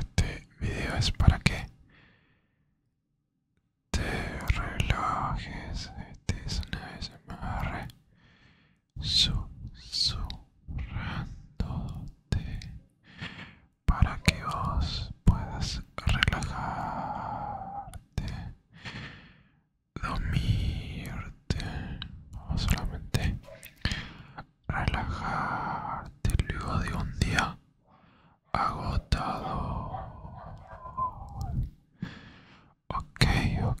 Este video es para que te relajes. Este es una SMR susurrándote para que vos puedas relajarte, dormirte, o solamente relajarte luego de un día agotado. Ok, ok,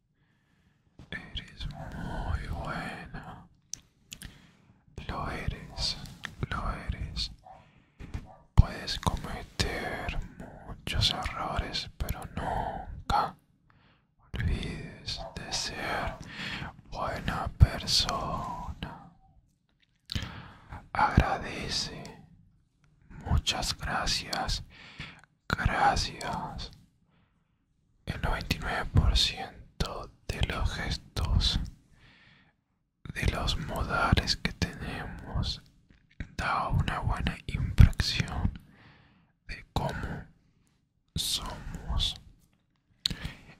Eres muy buena, Lo eres, lo eres. Puedes cometer muchos errores, pero nunca olvides de ser buena persona. Agradece. Muchas gracias. Gracias el 99% de los gestos de los modales que tenemos da una buena impresión de cómo somos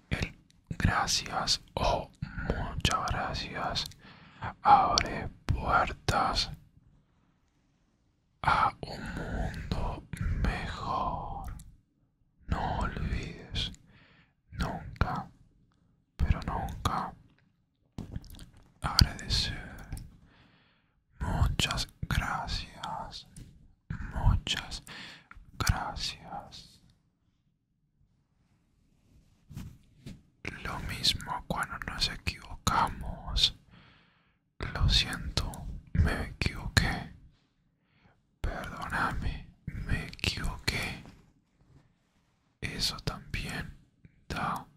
el gracias o muchas gracias abre puertas a un mundo mejor. No olvides nunca, pero nunca agradecer. Muchas gracias, muchas gracias. Lo mismo cuando nos equivocamos. Lo siento, me equivoqué. Perdóname, me equivoqué. Eso también da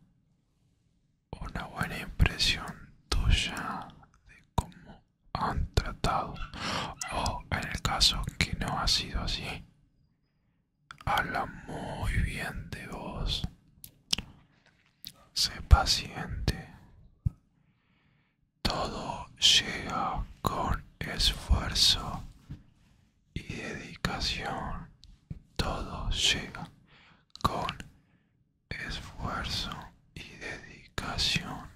una buena impresión tuya de cómo han tratado o en el caso que no ha sido así. Habla muy bien de vos. Sé paciente. Todo llega con esfuerzo y dedicación. Todo llega con esfuerzo y dedicación.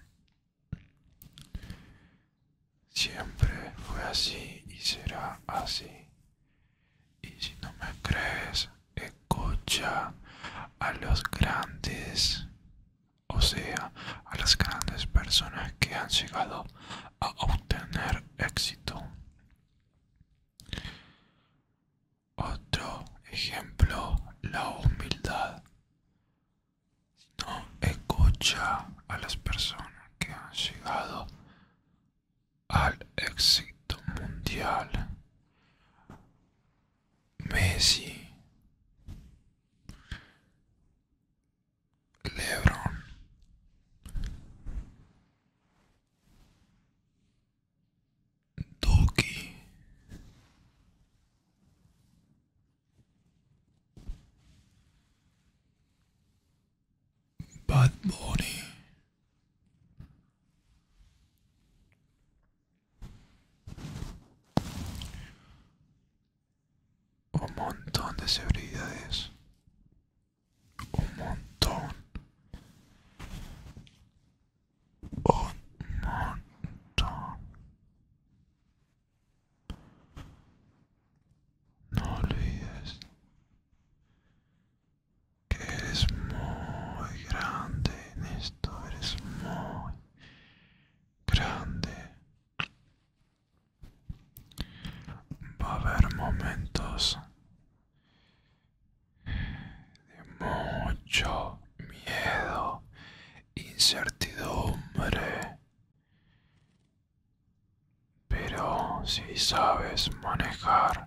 Siempre fue así y será así. Y si no me crees, escucha a los grandes, o sea, a las grandes personas que han llegado a obtener éxito. Otro ejemplo, la humildad. no escucha a las personas que han llegado al éxito mundial. Messi, Lebron, Doki Bad Bunny. Un montón de celebridades. Un montón. Un montón. No olvides que eres muy grande en esto, eres muy grande. Va a haber momentos de mucho miedo, incertidumbre, pero si sabes manejar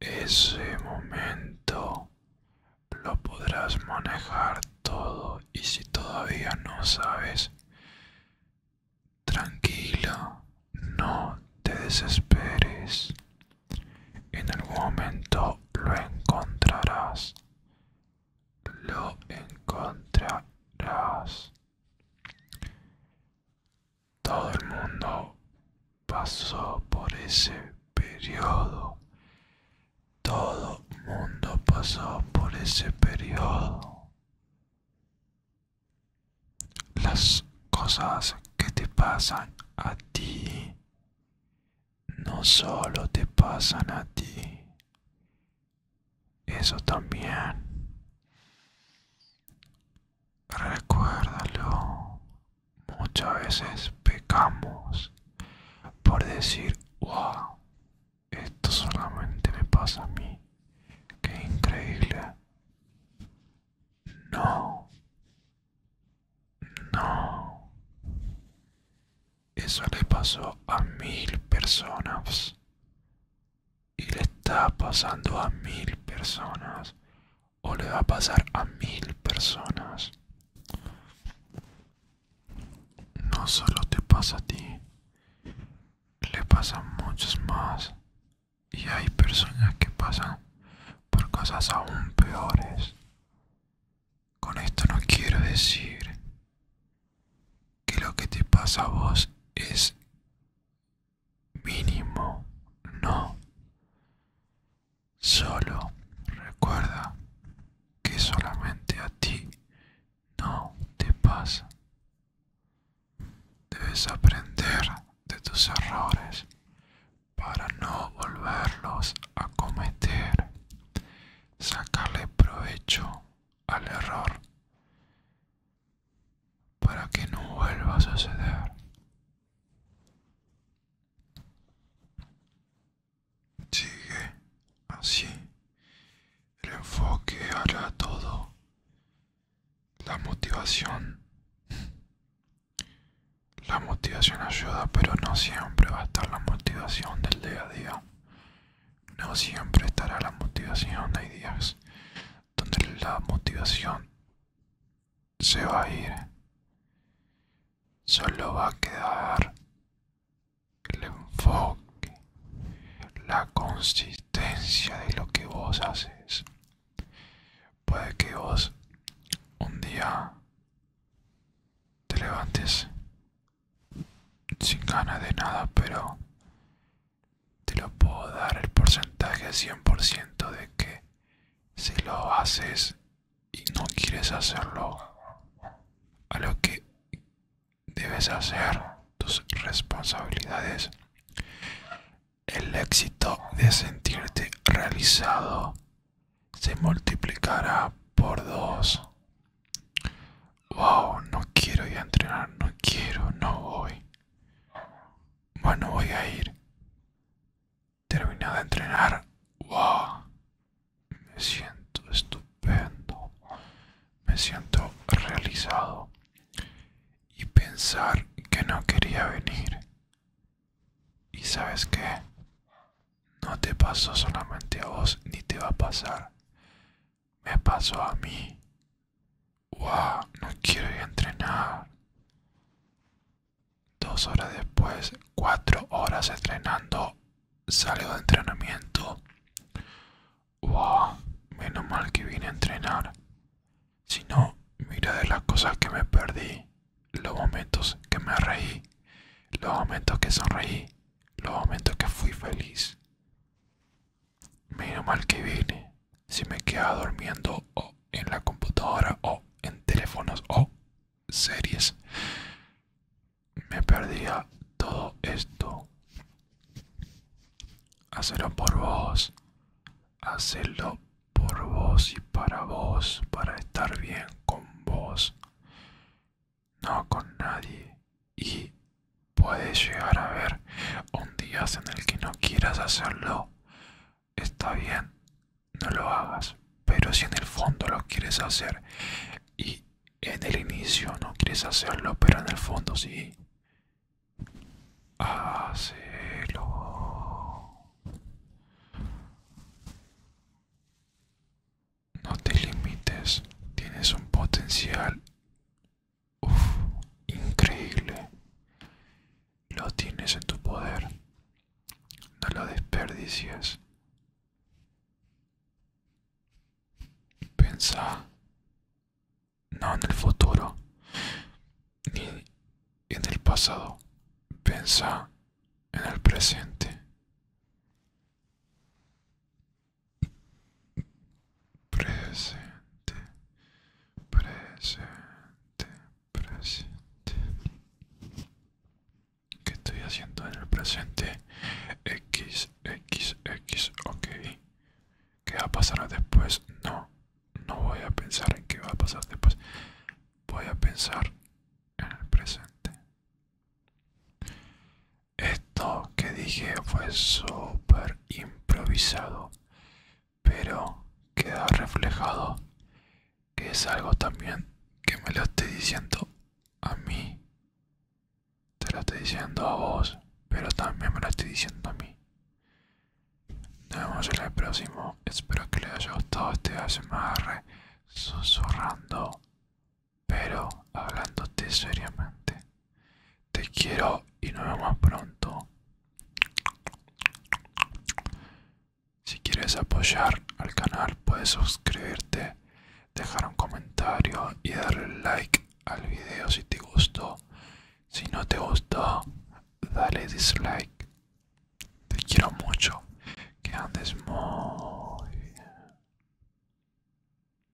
ese momento lo podrás manejar todo y si todavía no sabes, tranquilo, no te desesperes. En algún momento lo encontrarás. Lo encontrarás todo el mundo pasó por ese periodo. Todo el mundo pasó por ese periodo. Las cosas que te pasan a ti no solo te pasan a ti. Eso también Recuérdalo, muchas veces pecamos por decir, wow, esto solamente me pasa a mí, qué increíble. No, no, eso le pasó a mil personas y le está pasando a mil personas o le va a pasar a mil personas. No solo te pasa a ti, le pasa a muchos más y hay personas que pasan por cosas aún peores. Con esto no quiero decir que lo que te pasa a vos es mínimo no. Solo recuerda que solamente a ti no te pasa. Debes aprender de tus errores para no volverlos a cometer. Sacarle provecho al error para que no vuelva a suceder. Sigue así. El enfoque hará todo. La motivación. La motivación ayuda, pero no siempre va a estar la motivación del día a día. No siempre estará la motivación. de ideas donde la motivación se va a ir solo va a quedar el enfoque la consistencia de lo que vos haces puede que vos un día te levantes sin ganas de nada pero te lo puedo dar el porcentaje 100% de que si lo haces y no quieres hacerlo a lo que debes hacer tus responsabilidades el éxito de sentirte realizado se multiplicará por dos wow no quiero ir a entrenar no quiero no voy bueno, voy a ir. termino de entrenar. ¡Wow! Me siento estupendo. Me siento realizado. Y pensar que no quería venir. Y sabes qué? No te pasó solamente a vos ni te va a pasar. Me pasó a mí. No quiero ir a entrenar. Dos horas después, cuatro horas entrenando, salgo de entrenamiento. ¡Wow! Menos mal que vine a entrenar. Si no, mira de las cosas que me perdí, los momentos que me reí, los momentos que sonreí, los momentos que fui feliz. Menos mal que vine. Si me quedaba durmiendo o en la computadora o en teléfonos o series, me perdía todo esto. Hacerlo por vos. Hacerlo por vos y para vos, para estar bien con vos. No con nadie, y puedes llegar a ver un día en el que no quieras hacerlo. Está bien, no lo hagas. Pero si en el fondo lo quieres hacer y en el inicio no quieres hacerlo, pero en el fondo sí, hazlo. No te limites, tienes un potencial increíble. Lo tienes en tu poder. No lo desperdicies. Piensa, No en el futuro. Ni en el pasado. piensa en el presente presente, presente, presente. ¿Qué estoy haciendo en el presente? X, X, X, ok. ¿Qué va a pasar después? No, no voy a pensar en qué va a pasar después. Voy a pensar en el presente. Esto que dije fue súper improvisado, pero queda reflejado que es algo también que me lo estoy diciendo a mí. Te lo estoy diciendo a vos, pero también me lo estoy diciendo a mí. Nos vemos en el próximo. Espero que les haya gustado este ASMR susurrando pero hablándote seriamente, te quiero y nos vemos pronto. Si quieres apoyar al canal puedes suscribirte, dejar un comentario y darle like al video si te gustó. Si no te gustó, dale dislike. Te quiero mucho. Que andes muy bien.